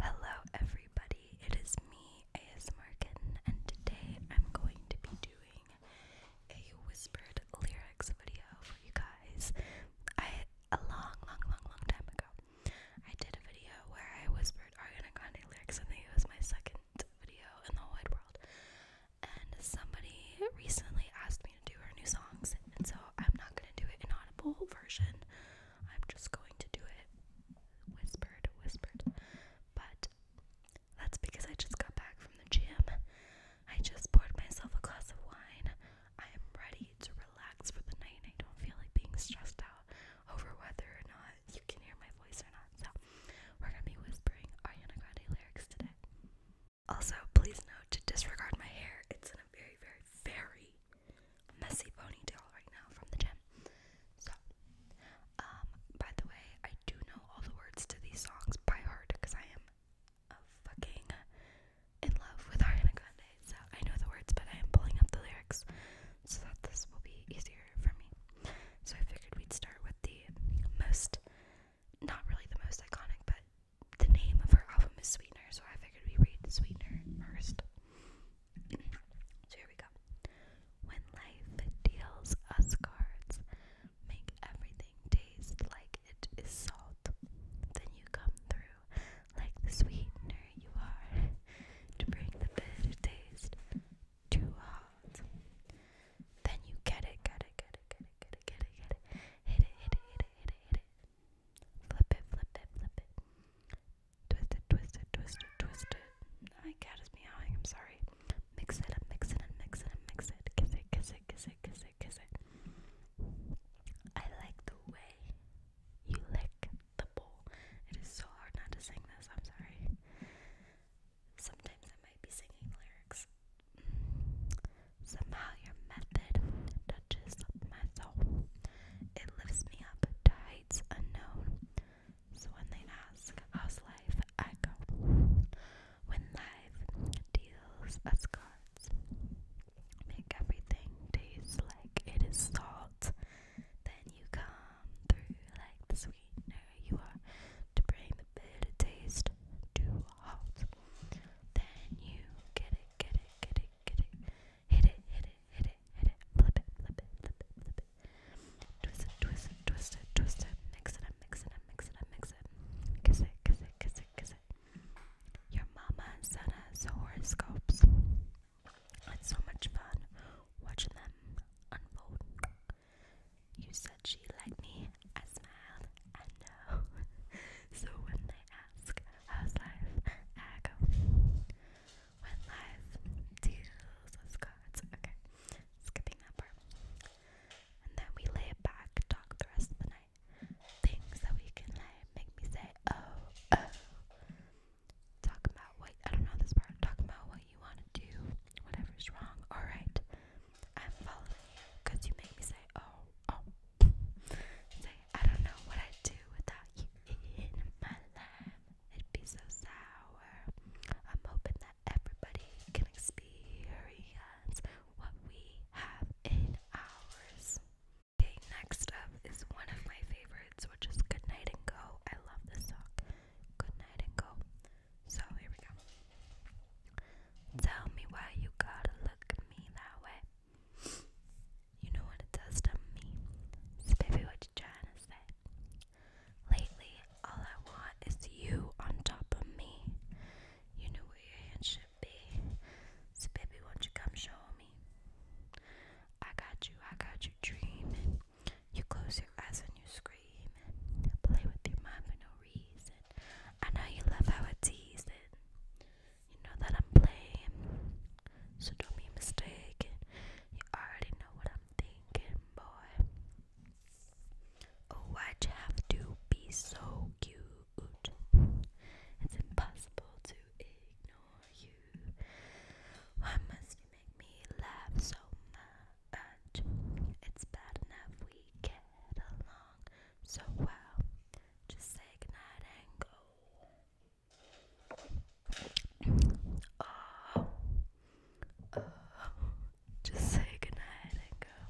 Hello, everybody, it is me, ASMRkin, and today I'm going to be doing a whispered lyrics video for you guys. I a long, long, long, long time ago, I did a video where I whispered Ariana Grande lyrics, and it was my second video in the whole wide world. And somebody recently asked me to do her new songs, and so I'm not gonna do it in audible version. I'm just going to do it whispered, whispered. But that's because I just got back from the gym. I just poured myself a glass of wine. I am ready to relax for the night. I don't feel like being stressed out over whether or not you can hear my voice or not. So, we're going to be whispering Ariana Grande lyrics today. Also, please note to disregard my hair. It's in a very, very, very messy ponytail right now from the gym. So, um, by the way, I do know all the words to these songs by heart because I am fucking in love with Ariana Grande. So I know the words, but I am pulling up the lyrics so that this will be easier for me. So I figured we'd start with the most, not really the most iconic, but the name of her album is Sweetener. So I figured we read Sweetener first so here we go. When life deals us cards, make everything taste like it is salt. Then you come through like the sweetener you are to bring the bitter taste to halt. Then you get it, get it, get it, get it, get it, get it, hit it, hit it, hit it, hit it, hit it. Flip it, flip it, flip it. Twist it, twist it, twist it, twist it. My cat is meowing, I'm sorry. Mix it up, mix it and mix it and mix it. Kiss it, kiss it, kiss it, kiss it, kiss it. I like the way you lick the bowl. It is so hard not to sing this, I'm sorry. Sometimes I might be singing lyrics. Somehow your method just my It lifts me up to heights unknown. So when they ask, how's life? I go. When life deals us cards, make everything taste like it is salt. Then you come through like the sweetener you are to bring the bitter taste to a halt. Then you get it, get it, get it, get it. Hit it, hit it, hit it, hit it. Flip it, flip it, flip it, flip it. Twist it, twist it, twist it, twist it. Mix it up, mix it up, mix it up, mix it. Kiss it, kiss it, kiss it, kiss it. Your mama sent us horoscopes. It's so much fun watching them unfold. You said she liked me. I smiled. I know. so when they ask, how's life? I go. What life us gods. Okay, skipping that part. And then we lay back, talk the rest of the night. Things that we can like make me say, oh, oh. Talk about what I don't know this part. Talk about what you want to do, whatever's wrong. All right, I'm following you make me say, oh, oh. Say I don't know what I'd do without you in my life. It'd be so sour. I'm hoping that everybody can experience what we have in ours. Okay, next up is one of my favorites, which is Goodnight and Go. I love this song. Goodnight and Go. So here we go. Tell me why you gotta look at me that way. You know what it does to me? It's baby what you trying to say. Lately, all I want is you on top of me. You know where your hands should be. So baby, won't you come show me? I got you, I got you dreaming. You close your eyes and you scream. Play with your mind for no reason. I know you love how I tease it. You know that I'm playing, so don't be mistaken. You already know what I'm thinking, boy. Oh, why'd you have to be so cute? It's impossible to ignore you. Why must you make me laugh so much? It's bad enough we get along so well. Just say goodnight and uh, uh, just say goodnight and go.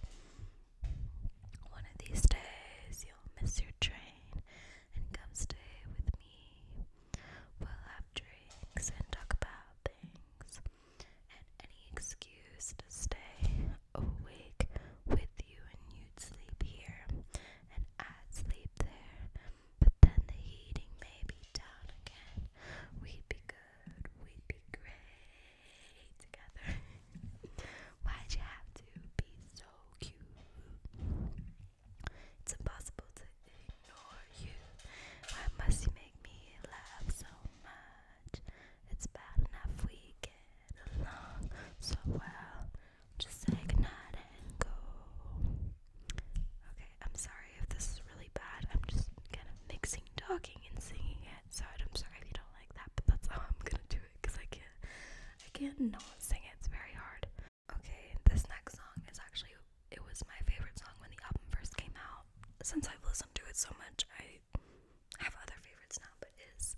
One of these days you'll miss your train and come stay with me. We'll have drinks and talk about things, and any excuse to stay awake with you, and you'd sleep here and I'd sleep there. But then the heating may be down again. We'd be good, we'd be great together. Why'd you have to be so cute? It's impossible to ignore you. Why must you make me laugh so much? It's bad enough we get along so well. Just say goodnight and go. Okay, I'm sorry if this is really bad. I'm just kind of mixing talking and singing it. So I'm sorry if you don't like that, but that's how I'm gonna do it because I can't I can't not sing it. It's very hard. Okay, this next song is actually it was my favorite song when the album first came out. Since I've listened to it so much, I have other favorites now, but it is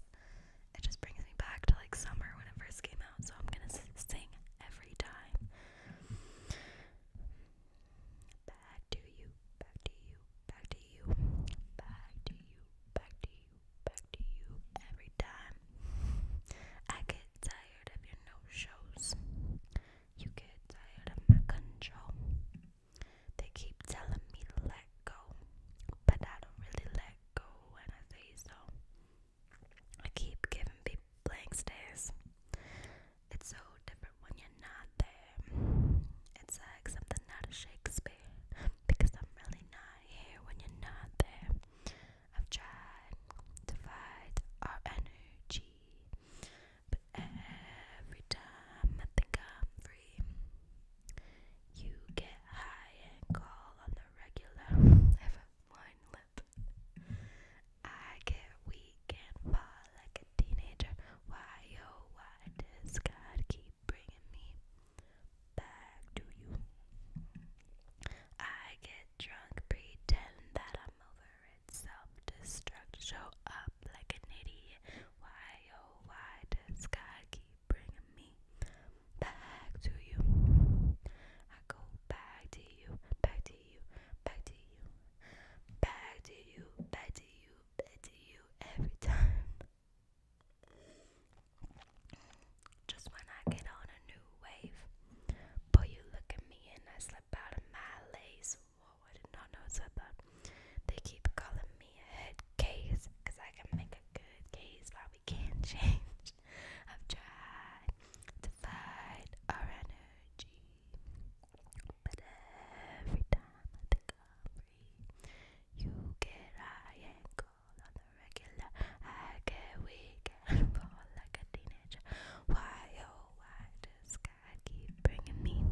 it just brings me back to like summer when it first came out, so I'm gonna sing every time. Back to you, back to you, back to you, back to you, back to you, back to you every time. I get tired of your no shows, you get tired of my control. They keep telling me to let go, but I don't really let go when I say so. I keep giving people blank stares. It's so different when you're not there. It's like something out of Shakespeare. Because I'm really not here when you're not there. I've tried to fight our energy. But every time I think I'm free, you get high and call on the regular ever mind I get weak and fall like a teenager. Why, oh, why does God keep bringing me back to you? I get drunk, pretend that I'm over it, self destruct, show up like an idiot. Why, oh, why does God keep bringing me back to you. I go back to you, back to you, back to you, back to you, back to you, back to you every time. Just when I get on a new wave, boy, you look at me and I slip out of my lace. Whoa, I did not know so that. They keep calling me a head case, cause I can make a good case while we can change. I've tried to fight our energy, but every time I think I'm free, you get high and cold on the regular. I get weak and fall like a teenager. Why, oh, why does God keep bringing me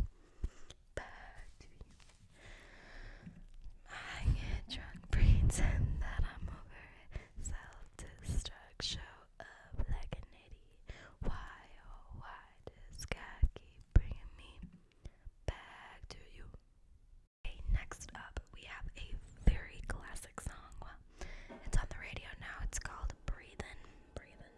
back to you? I My drunk pretend that I'm over it. Self destruct, show up like an idiot. Why, oh, why does God keep bringing me back to you? Okay, next up, we have a very classic song. Well, it's on the radio now. It's called "Breathing." Breathin'.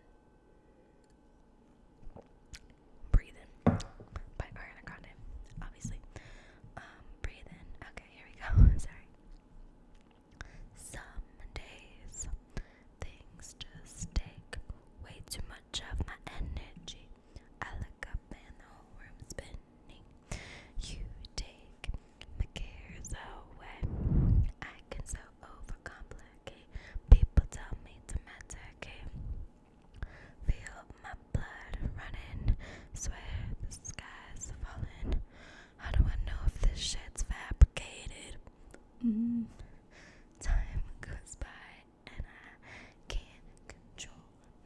Breathin' by Ariana Grande, obviously. Um, breathe in. Okay, here we go. Sorry. Some days things just take way too much of my energy. I look up and the whole room's spinning. You take my cares away. I can so overcomplicate. People tell me to medicate. Feel my blood running, swear the falling. How do I know if this shit's fabricated? Mm, time goes by and I can't control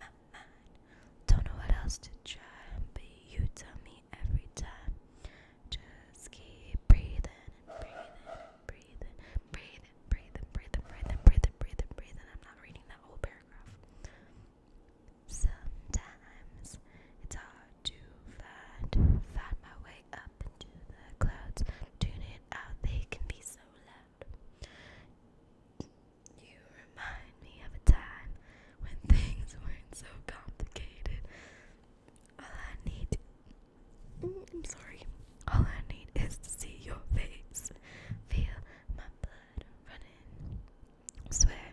my mind. Don't know what else to try, but you tell me every time. Just keep breathing breathing breathing, breathing, breathing, breathing, breathing, breathing, breathing, breathing. I'm not reading that whole paragraph. Sometimes it's hard to find, find my way up into the clouds. Tune out, they can be so loud. You remind me of a time when things weren't so complicated. All I need, mm, I'm sorry, all I need is to see your face, feel my blood blood Swear,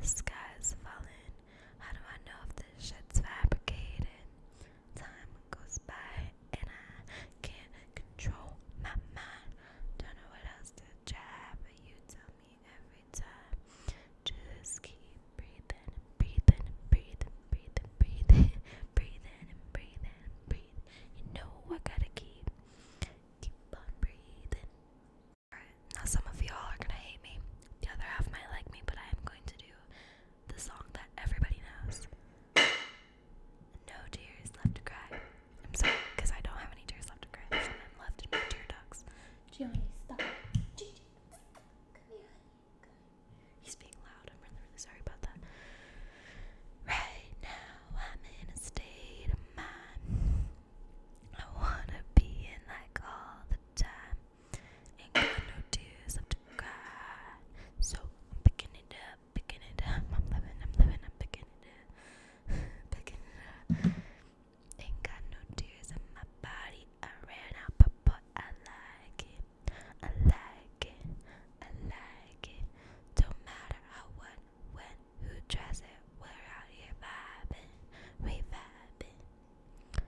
the sky is falling. How do I know if this shit's fabricated? Time goes by and I can't control my mind. Don't know what else to try, but you tell me every time. Just keep breathing, breathing, breathing, breathing, breathing, breathing, and breathing, breathing. You know I gotta keep Keep on breathing. now some of y'all are gonna hate me. The other half might like me, but I am going to do the song that everybody knows. No tears left to cry. I'm sorry, because I don't have any tears left to cry. left in tear ducts. Gianni, stop. Gigi, stop. Come here. He's being loud. I'm really, really sorry about that. Right now, I'm in a state of mind. I wanna be in like all the time. Ain't got no tears left to cry. So I'm picking it up, picking it up. I'm living, I'm living, I'm picking it up, picking it up. Ain't got no tears in my body. I ran out, but, but I like it. I like it. I like it. Don't matter how, what, when, who dress it. We're out here vibing, we vibing.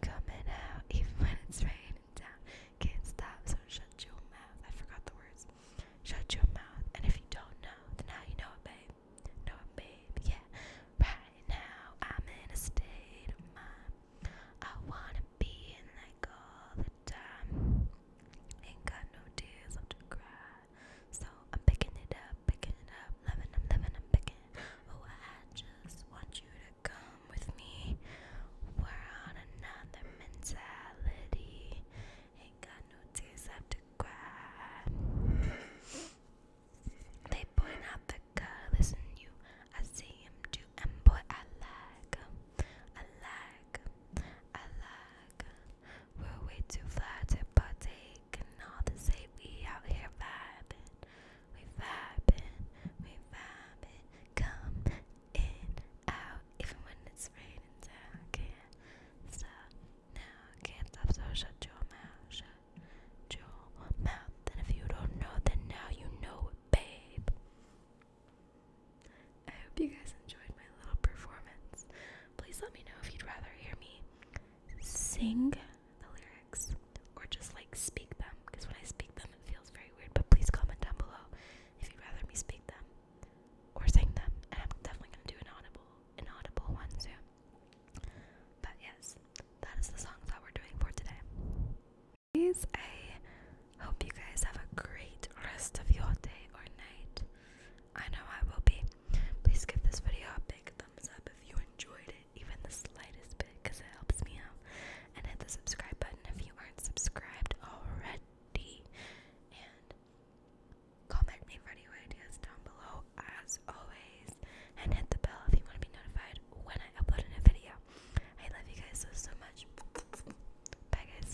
Coming out even when it's raining down. Can't stop, so shut your mouth. I forgot the words. Shut your mouth, and if you don't know, then now you know babe. Know babe. Yeah. Right now, I'm in a state of mind. I wanna be in like all the time. Ain't got no tears left to cry. So I'm picking it up, picking it up, loving, I'm loving, picking. Oh, I just want you to come with me. We're on another mentality. Ain't got no tears left to cry. They point out the colors in you. I see too, and boy, I like I like I like we're way too flat to partake and all the same we out here vibing. We vibing, we vibing. Come in, out, even when it's raining down. Can't stop now, can't stop, so shut your mouth, shut your mouth. And if you don't know, then now you know babe. I hope you guys enjoyed my little performance. Please let me know if you'd rather hear me sing the lyrics or just like speak them because when I speak them it feels very weird. But please comment down below if you'd rather me speak them or sing them. And I'm definitely gonna do an audible, an audible one too. But yes, that is the songs that we're doing for today. Please, I Hope you guys have a great rest of your day or night. I know I will be. Please give this video a big thumbs up if you enjoyed it, even the slightest bit, because it helps me out. And hit the subscribe button if you aren't subscribed already. And comment me for any ideas down below, as always. And hit the bell if you want to be notified when I upload a new video. I love you guys so, so much. Bye, guys.